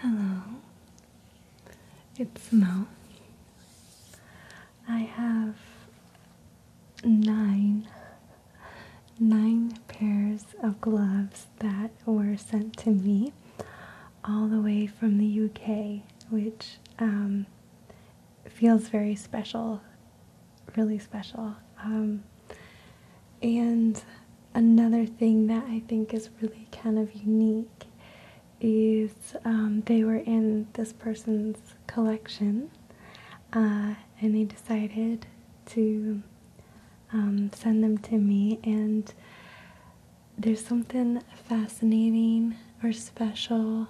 Hello, it's Mo. I have nine nine pairs of gloves that were sent to me all the way from the UK, which um, feels very special really special. Um, and another thing that I think is really kind of unique is um, they were in this person's collection uh, and they decided to um, send them to me. And there's something fascinating or special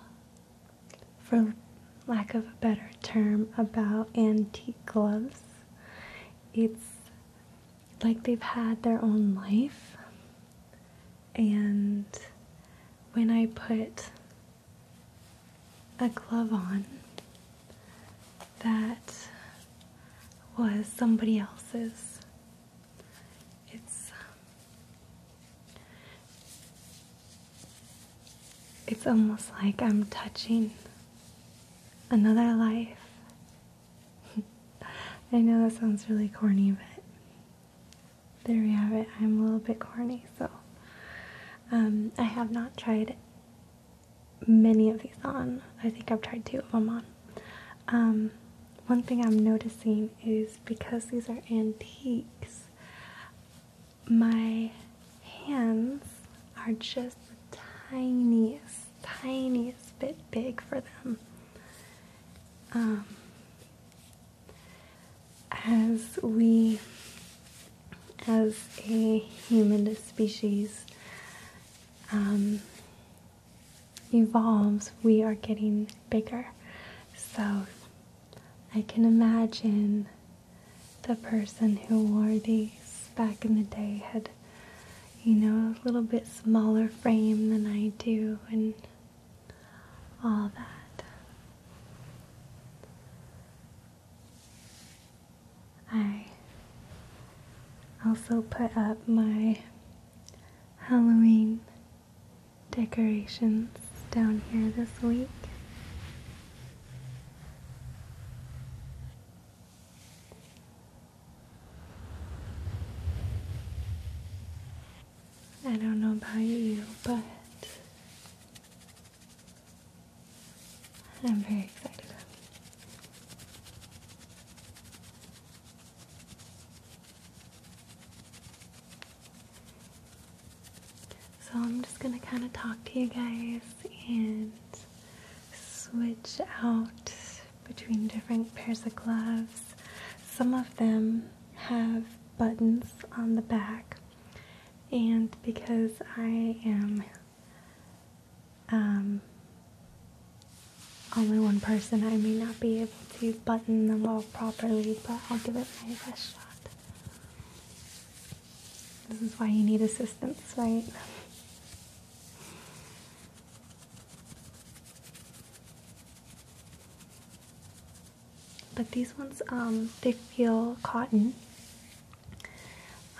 for lack of a better term, about antique gloves. It's like they've had their own life. And when I put a glove on that was somebody else's, it's it's almost like I'm touching another life. I know that sounds really corny, but there we have it. I'm a little bit corny, so um, I have not tried many of these on. I think I've tried two of them on. Um, one thing I'm noticing is because these are antiques, my hands are just the tiniest, tiniest bit big for them. Um, as we, as a human species, um, evolves, we are getting bigger. So I can imagine the person who wore these back in the day had, you know, a little bit smaller frame than I do and all that. I also put up my Halloween decorations down here this week. I don't know about you, but I'm very excited so I'm just going to kind of talk to you guys and switch out between different pairs of gloves. Some of them have buttons on the back and because I am um, only one person, I may not be able to button them all properly, but I'll give it my best shot. This is why you need assistance, right? But these ones, um, they feel cotton.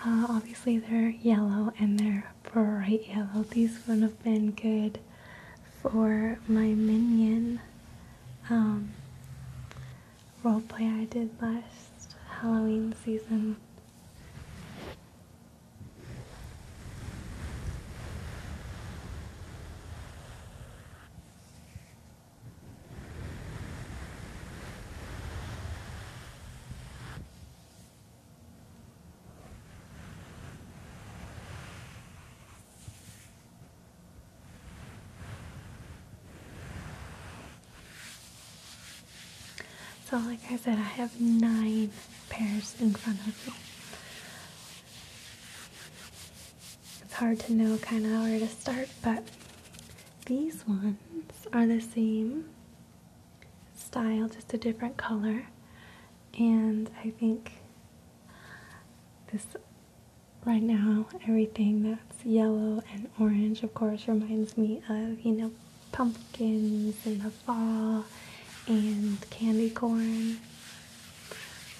Uh, obviously, they're yellow and they're bright yellow. These would have been good for my minion. Um, Role play I did last Halloween season. So, like I said, I have nine pairs in front of me. It's hard to know kind of where to start, but these ones are the same style, just a different color. And I think this right now everything that's yellow and orange of course reminds me of you know pumpkins in the fall and candy corn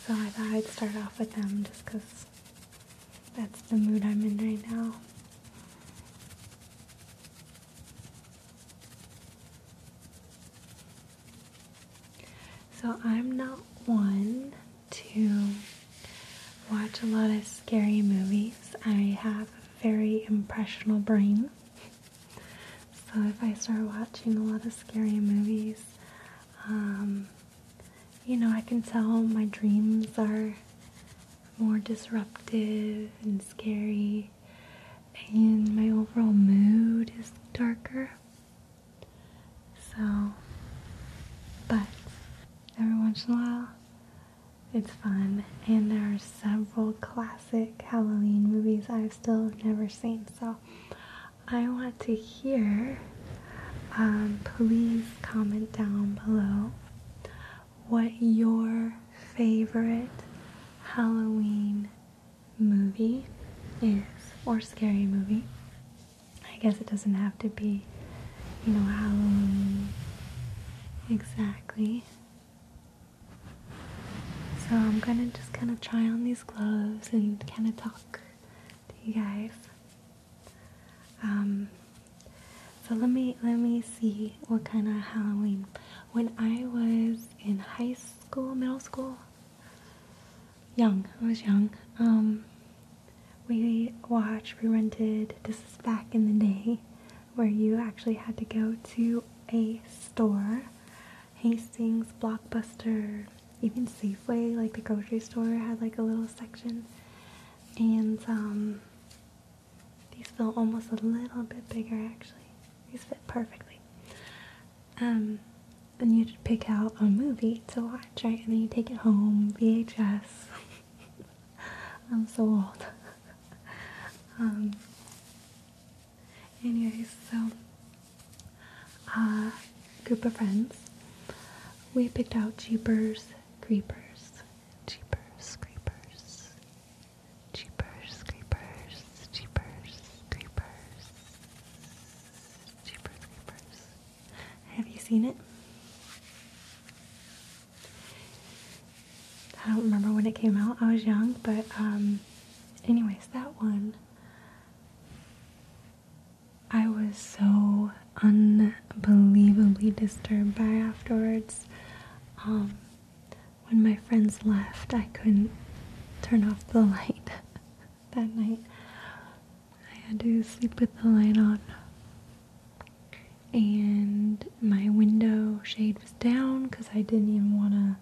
so i thought i'd start off with them just because that's the mood i'm in right now so i'm not one to watch a lot of scary movies. I have a very impressionable brain. So if I start watching a lot of scary movies, um, you know, I can tell my dreams are more disruptive and scary, and my overall mood is darker. So, but every once in a while, it's fun. And there are several classic Halloween movies I've still never seen. So, I want to hear. Um, please comment down below what your favorite Halloween movie is or scary movie. I guess it doesn't have to be, you know, Halloween exactly. So I'm gonna just kind of try on these gloves and kind of talk to you guys. Um, so let me let me see what kind of Halloween. When I was in high school, middle school, young. I was young. Um, we watched, we rented. This is back in the day where you actually had to go to a store. Hastings, Blockbuster, even Safeway, like the grocery store, had like a little section. And um, these feel almost a little bit bigger actually. These fit perfectly. Um, and you'd pick out a movie to watch watch and then you take it home. VHS. I'm so old. um, anyways, so uh, group of friends, we picked out Jeepers Creepers. Jeepers Creepers. Jeepers Creepers. Jeepers Creepers. Jeepers Creepers. Have you seen it? I don't remember when it came out. I was young, but um, anyways, that one. I was so unbelievably disturbed by afterwards. Um, when my friends left, I couldn't turn off the light that night. I had to sleep with the light on. And my window shade was down because I didn't even want to,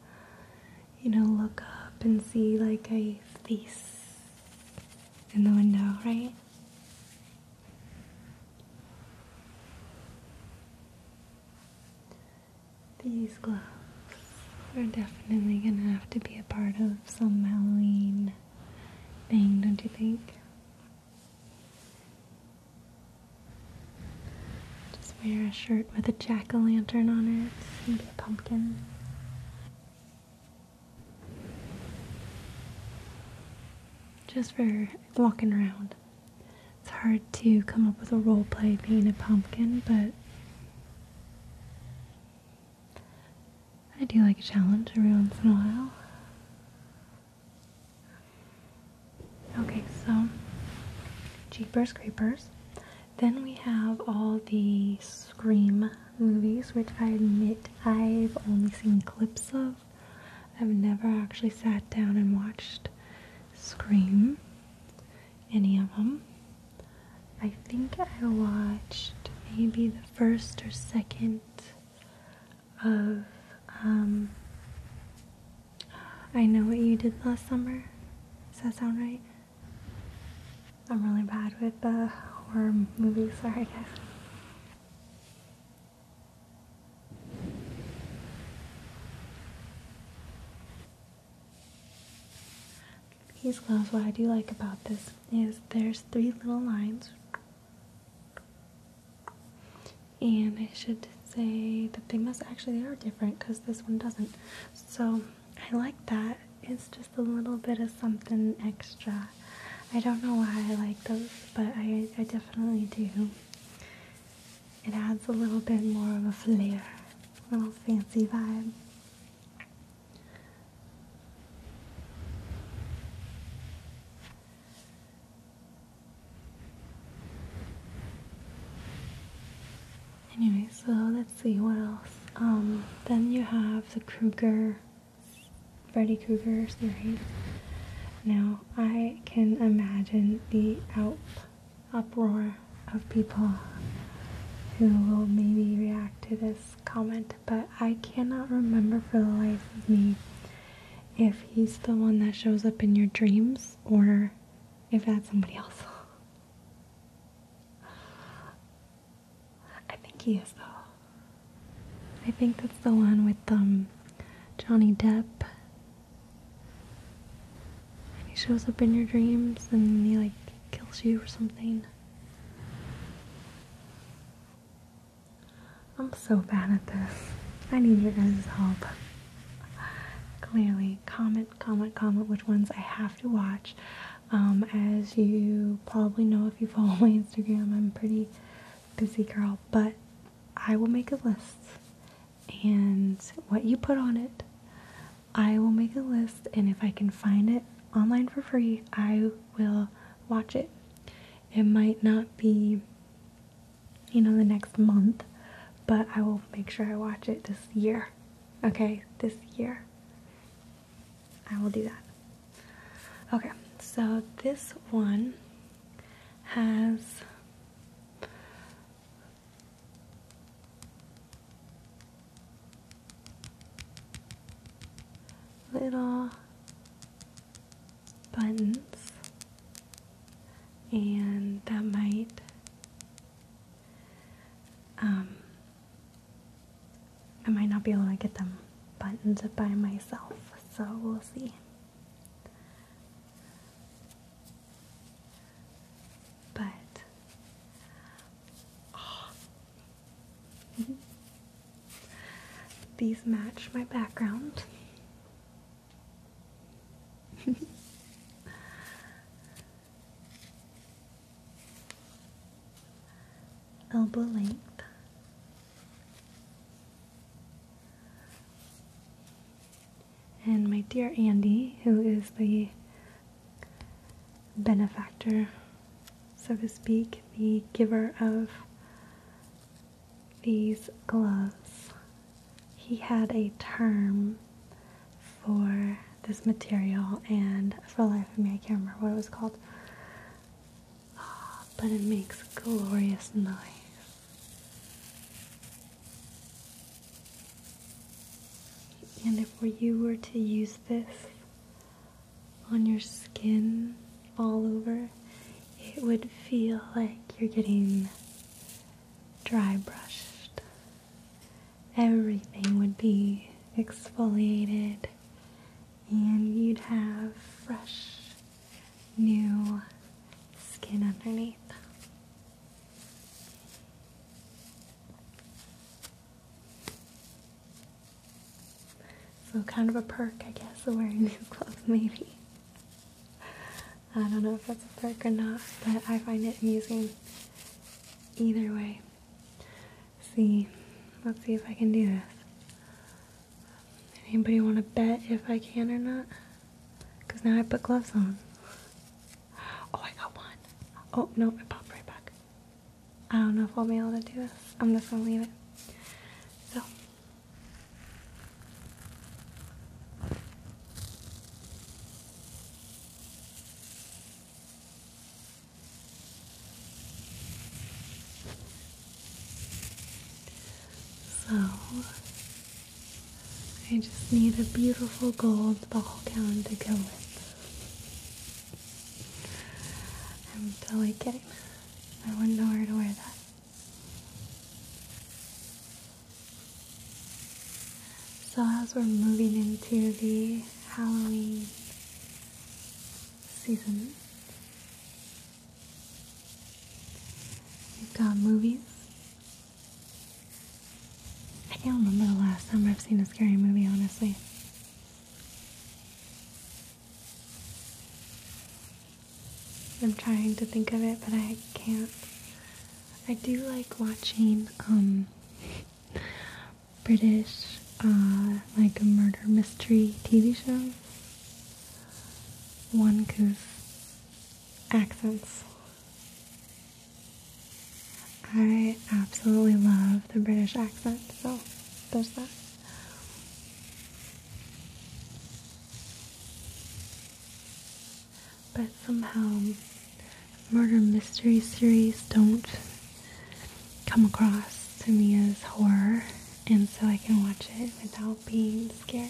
you know, look up and see like a face in the window, right? These gloves are definitely gonna have to be a part of some Halloween thing, don't you think? Just wear a shirt with a jack o' lantern on it, maybe a pumpkin. Just for walking around. It's hard to come up with a role play being a pumpkin, but I do like a challenge every once in a while. Okay, so Jeepers Creepers. Then we have all the Scream movies, which I admit I've only seen clips of. I've never actually sat down and watched Scream, any of them. I think I watched maybe the first or second of um, I Know What You Did Last Summer. Does that sound right? I'm really bad with uh, horror movies, sorry guys these gloves, what I do like about this is there's three little lines, and I should say that they must actually they are different because this one doesn't. So I like that. It's just a little bit of something extra. I don't know why I like those, but I, I definitely do. It adds a little bit more of a flair, a little fancy vibe. Anyway, so let's see what else. Um, then you have the Kruger, Freddy Krueger series. Now, I can imagine the uproar of people who will maybe react to this comment but I cannot remember for the life of me if he's the one that shows up in your dreams or if that's somebody else. I think he is though. I think that's the one with um Johnny Depp. And he shows up in your dreams and he like kills you or something. I'm so bad at this. I need your guys' help. Clearly, comment, comment, comment which ones I have to watch. Um, as you probably know if you follow my Instagram, I'm a pretty busy girl, but I will make a list. And what you put on it, I will make a list. And if I can find it, online for free, I will watch it. It might not be, you know, the next month, but I will make sure I watch it this year. Okay, this year. I will do that. Okay, so this one has little buttons, and that might um, I might not be able to get them buttoned by myself, so we'll see. But oh, Mm-hmm. These match my background. Elbow length. And my dear Andy, who is the benefactor, so to speak, the giver of these gloves. He had a term for this material, and for life of me, I can't remember what it was called. Ah, but it makes glorious noise. And if you were to use this on your skin all over, it would feel like you're getting dry brushed. Everything would be exfoliated, and you'd have fresh, new skin underneath. So kind of a perk, I guess, of wearing these gloves, maybe. I don't know if that's a perk or not, but I find it amusing either way. see, let's see if I can do this. Anybody want to bet if I can or not? Because now I put gloves on. Oh, I got one. Oh, no, it popped right back. I don't know if I'll be able to do this. I'm just gonna leave it. So I just need a beautiful gold ball gown to go with. I'm totally kidding. I wouldn't know where to wear that. So as we're moving into the Halloween season, we've got movies. I can't remember the last time I've seen a scary movie, honestly. I'm trying to think of it, but I can't. I do like watching um, British uh, like murder mystery TV show. One because accents. I absolutely love the British accent, so there's that. But somehow, murder mystery series don't come across to me as horror, and so I can watch it without being scared.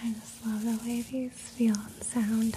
I just love the way these feel and sound.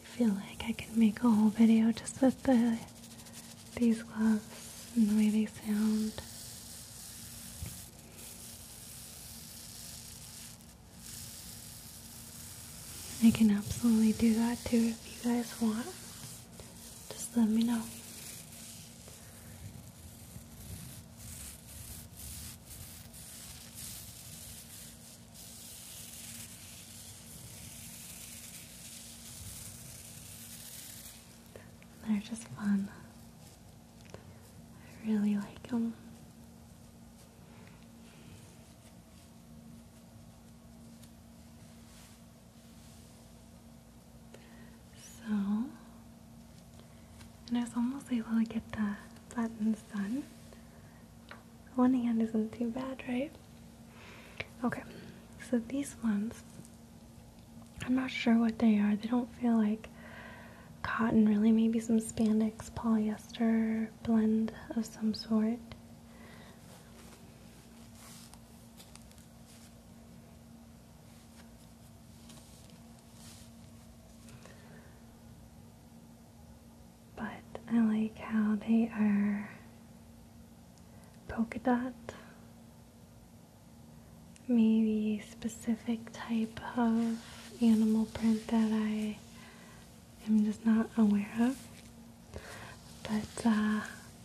I feel like I can make a whole video just with the these gloves and the way they sound. I can absolutely do that too if you guys want. Just let me know. They're just fun. I really like them. So, and I was almost able to get the buttons done. One hand isn't too bad, right? Okay, so these ones I'm not sure what they are. They don't feel like cotton, really. Maybe some spandex polyester blend of some sort. But I like how they are polka dot maybe specific type of animal print that I am just not aware of. But uh,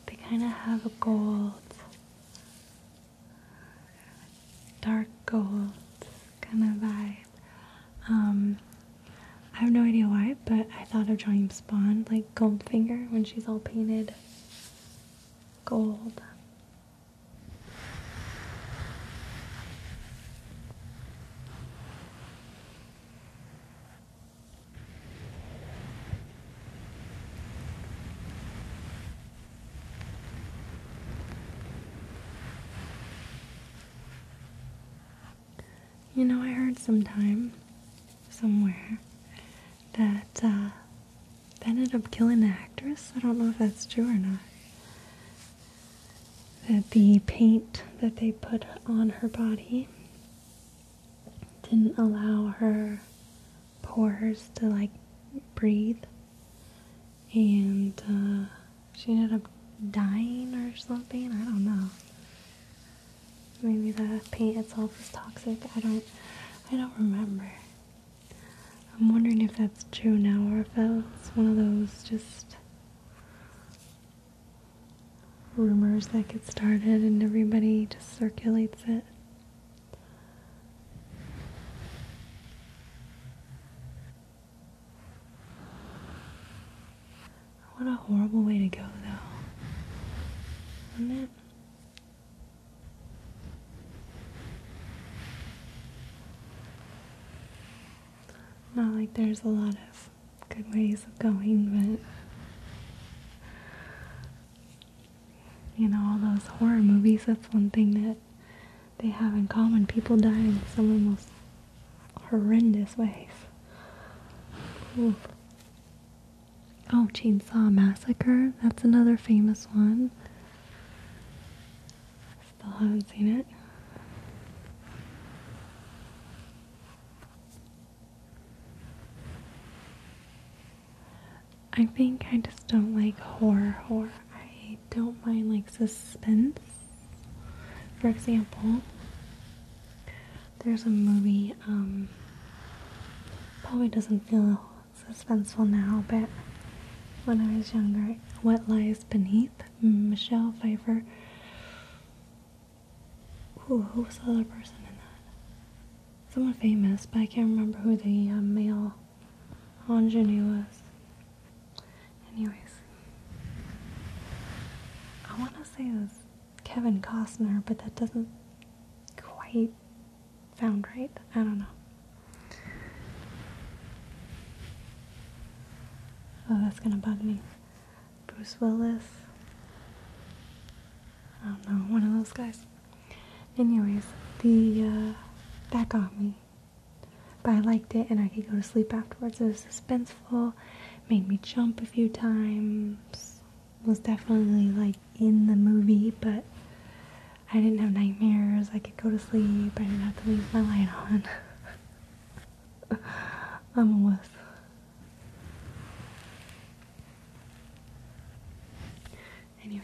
they kind of have a gold, dark gold kind of vibe. Um, I have no idea why, but I thought of James Spawn, like Goldfinger, when she's all painted gold. You know, I heard sometime, somewhere, that uh, that ended up killing the actress. I don't know if that's true or not. That the paint that they put on her body didn't allow her pores to like breathe, and uh, she ended up dying or something. I don't know. Maybe the paint itself is toxic. I don't. I don't remember. I'm wondering if that's true now or if that one of those just rumors that get started and everybody just circulates it. What a horrible way to go, though. Isn't it? Not like there's a lot of good ways of going, but you know, all those horror movies, that's one thing that they have in common. People die in some of the most horrendous ways. Ooh. Oh, Chainsaw Massacre, that's another famous one. Still haven't seen it. I think I just don't like horror horror. I don't mind like suspense. For example, there's a movie um probably doesn't feel suspenseful now, but when I was younger, What Lies Beneath, mm, Michelle Pfeiffer. who was the other person in that? Someone famous, but I can't remember who the uh, male ingenue was. Anyways, I want to say it was Kevin Costner, but that doesn't quite sound right. I don't know. Oh, that's gonna bug me. Bruce Willis. I don't know, one of those guys. Anyways, the uh, that got me, but I liked it, and I could go to sleep afterwards. It was suspenseful, made me jump a few times. Was definitely like in the movie, but I didn't have nightmares. I could go to sleep. I didn't have to leave my light on. I'm a Anyways.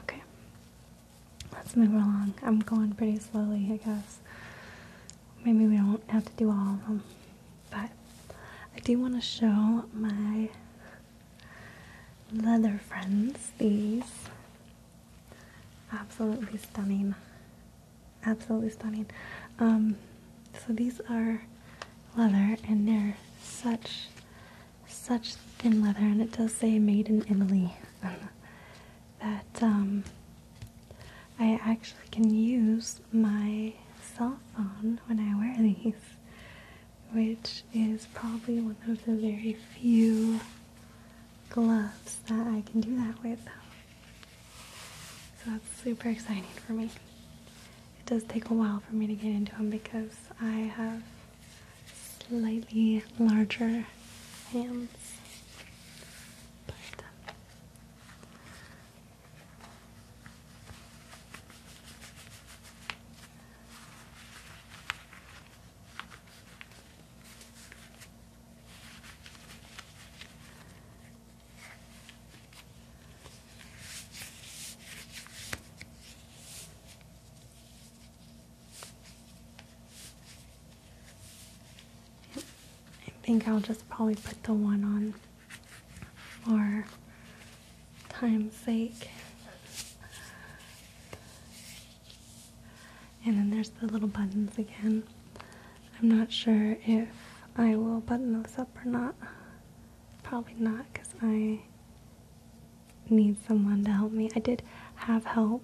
Okay, let's move along. I'm going pretty slowly, I guess. Maybe we don't have to do all of them, but I do want to show my leather friends these. Absolutely stunning. Absolutely stunning. Um, so these are leather and they're such, such thin leather and it does say made in Italy. that um, I actually can use my cell phone when I wear these, which is probably one of the very few gloves that I can do that with. So that's super exciting for me. It does take a while for me to get into them because I have slightly larger hands. I think I'll just probably put the one on for time's sake. And then there's the little buttons again. I'm not sure if I will button those up or not. Probably not because I need someone to help me. I did have help,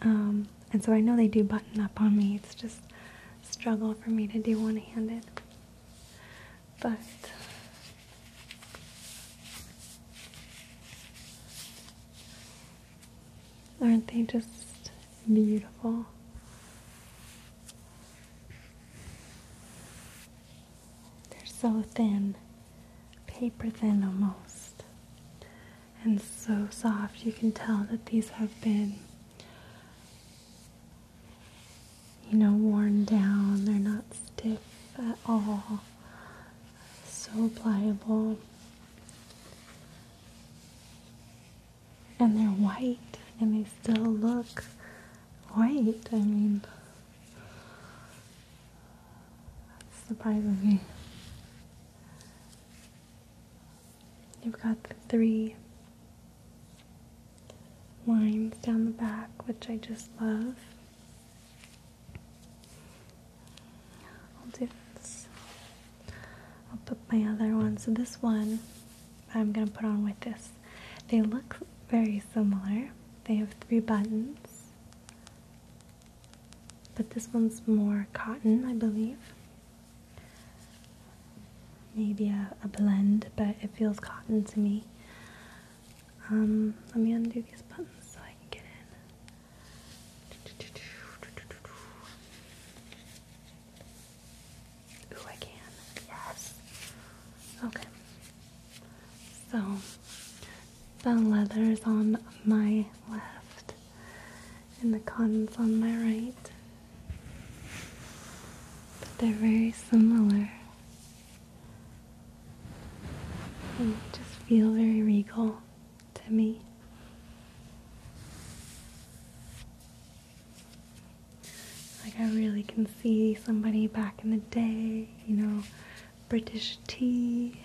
um, and so I know they do button up on me. It's just a struggle for me to do one handed. But Aren't they just beautiful? They're so thin, paper thin almost, and so soft. You can tell that these have been, you know, worn down. They're not stiff at all so pliable. And they're white and they still look white. I mean, that's surprising me. You've got the three lines down the back, which I just love. I'll do this. I'll put my other one. So this one I'm going to put on with this. They look very similar. They have three buttons. But this one's more cotton, I believe. Maybe a, a blend, but it feels cotton to me. Um, let me undo these buttons so I can get in. Ooh, I can. Yes. Okay. So the leather's on my left and the cotton's on my right. But they're very similar and just feel very regal to me. Like I really can see somebody back in the day, you know, British tea,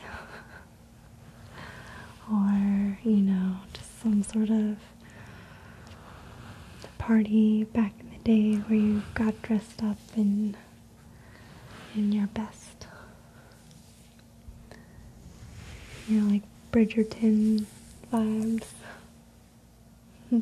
or, you know, just some sort of party back in the day where you got dressed up and. In your best. you know, like Bridgerton vibes.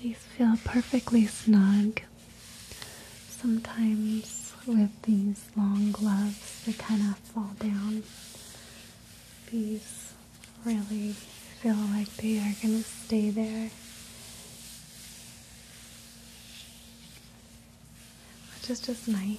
These feel perfectly snug. Sometimes with these long gloves, they kind of fall down these really feel like they are going to stay there. Which is just nice.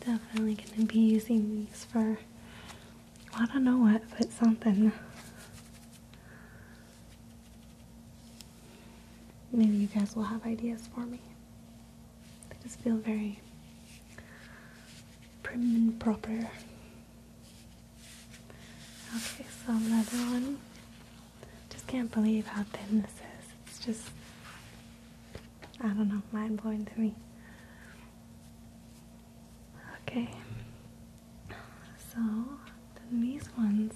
Definitely going to be using these for, I don't know what, but something. Maybe you guys will have ideas for me. They just feel very prim and proper. Okay, so another one. Just can't believe how thin this is. It's just I don't know, mind blowing to me. Okay, so these ones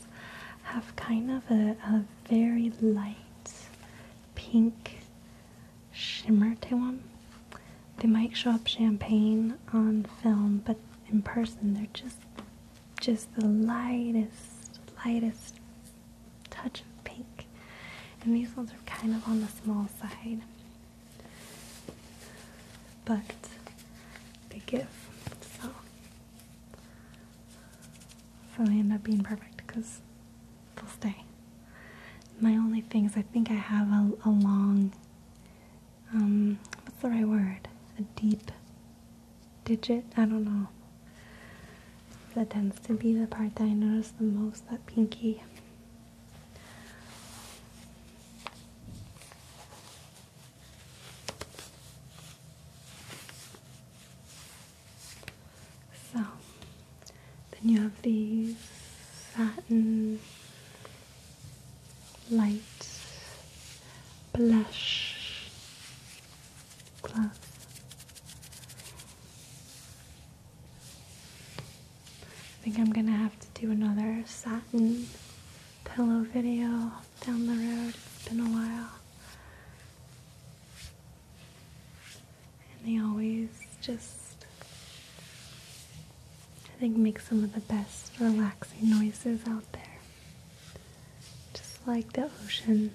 have kind of a, a very light pink shimmer to them. They might show up champagne on film, but in person they're just just the lightest, lightest touch of pink. And these ones are kind of on the small side. But they give. So, so they end up being perfect because they'll stay. My only thing is I think I have a, long, um, what's the right word? A deep digit. I don't know. That tends to be the part that I notice the most, that pinky. So, then you have these satin light blush glass. I think I'm gonna have to do another satin pillow video down the road. It's been a while. And they always just, I think, make some of the best relaxing noises out there. Just like the ocean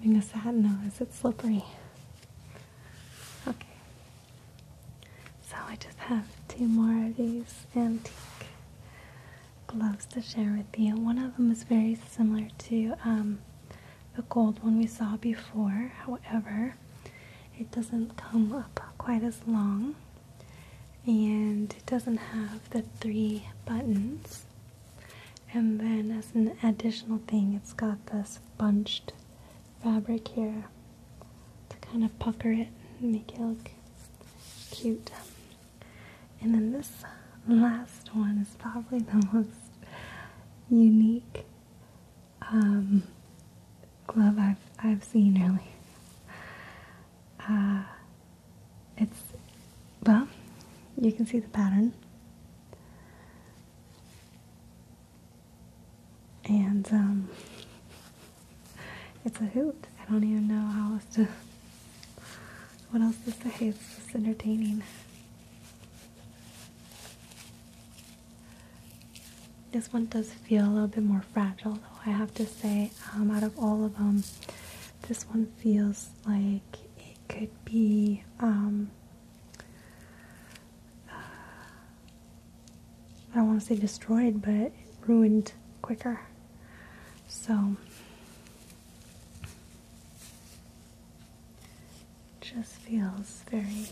Living a sad nose, it's slippery. Okay. So I just have two more of these antique gloves to share with you. One of them is very similar to um, the gold one we saw before. However, it doesn't come up quite as long and it doesn't have the three buttons. And then as an additional thing, it's got this bunched fabric here to kind of pucker it and make it look cute. And then this last one is probably the most unique um, glove I've I've seen really. Uh, it's well, you can see the pattern, and um, it's a hoot. I don't even know how else to what else to say. It's just entertaining. This one does feel a little bit more fragile, though. I have to say, um, out of all of them, this one feels like it could be um, I don't want to say destroyed, but ruined quicker. So just feels very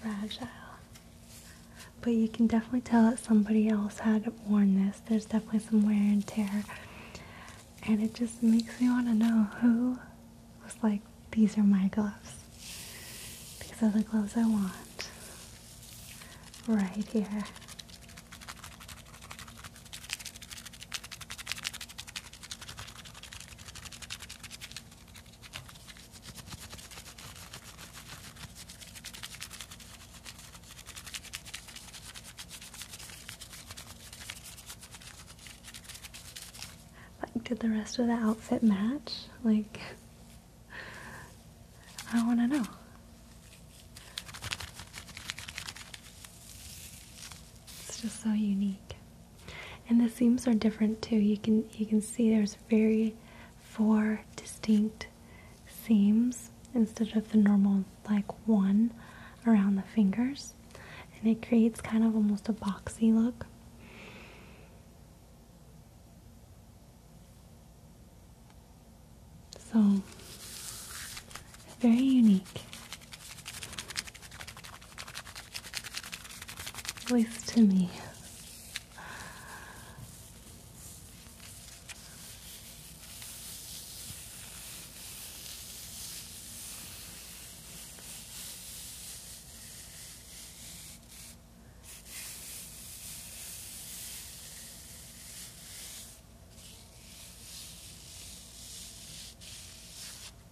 fragile. But you can definitely tell that somebody else had worn this. There's definitely some wear and tear. And it just makes me want to know who was like, these are my gloves. These are the gloves I want. Right here. Like, did the rest of the outfit match? Like, I want to know. It's just so unique and the seams are different too you can you can see there's very four distinct seams instead of the normal like one around the fingers and it creates kind of almost a boxy look so very unique voice to me.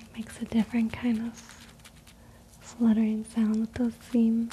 It makes a different kind of fluttering sound that those seams.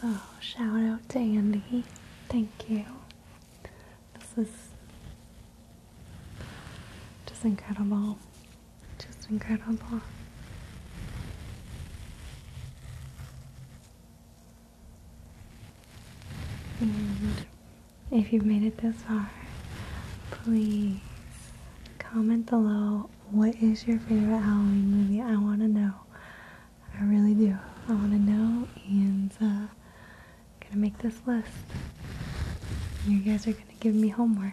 So, oh, shout out to Andy. Thank you. This is just incredible. Just incredible. And if you've made it this far, please comment below what is your favorite Halloween movie? I want to know. I really do. I want to know, and I'm uh, gonna make this list. You guys are gonna give me homework.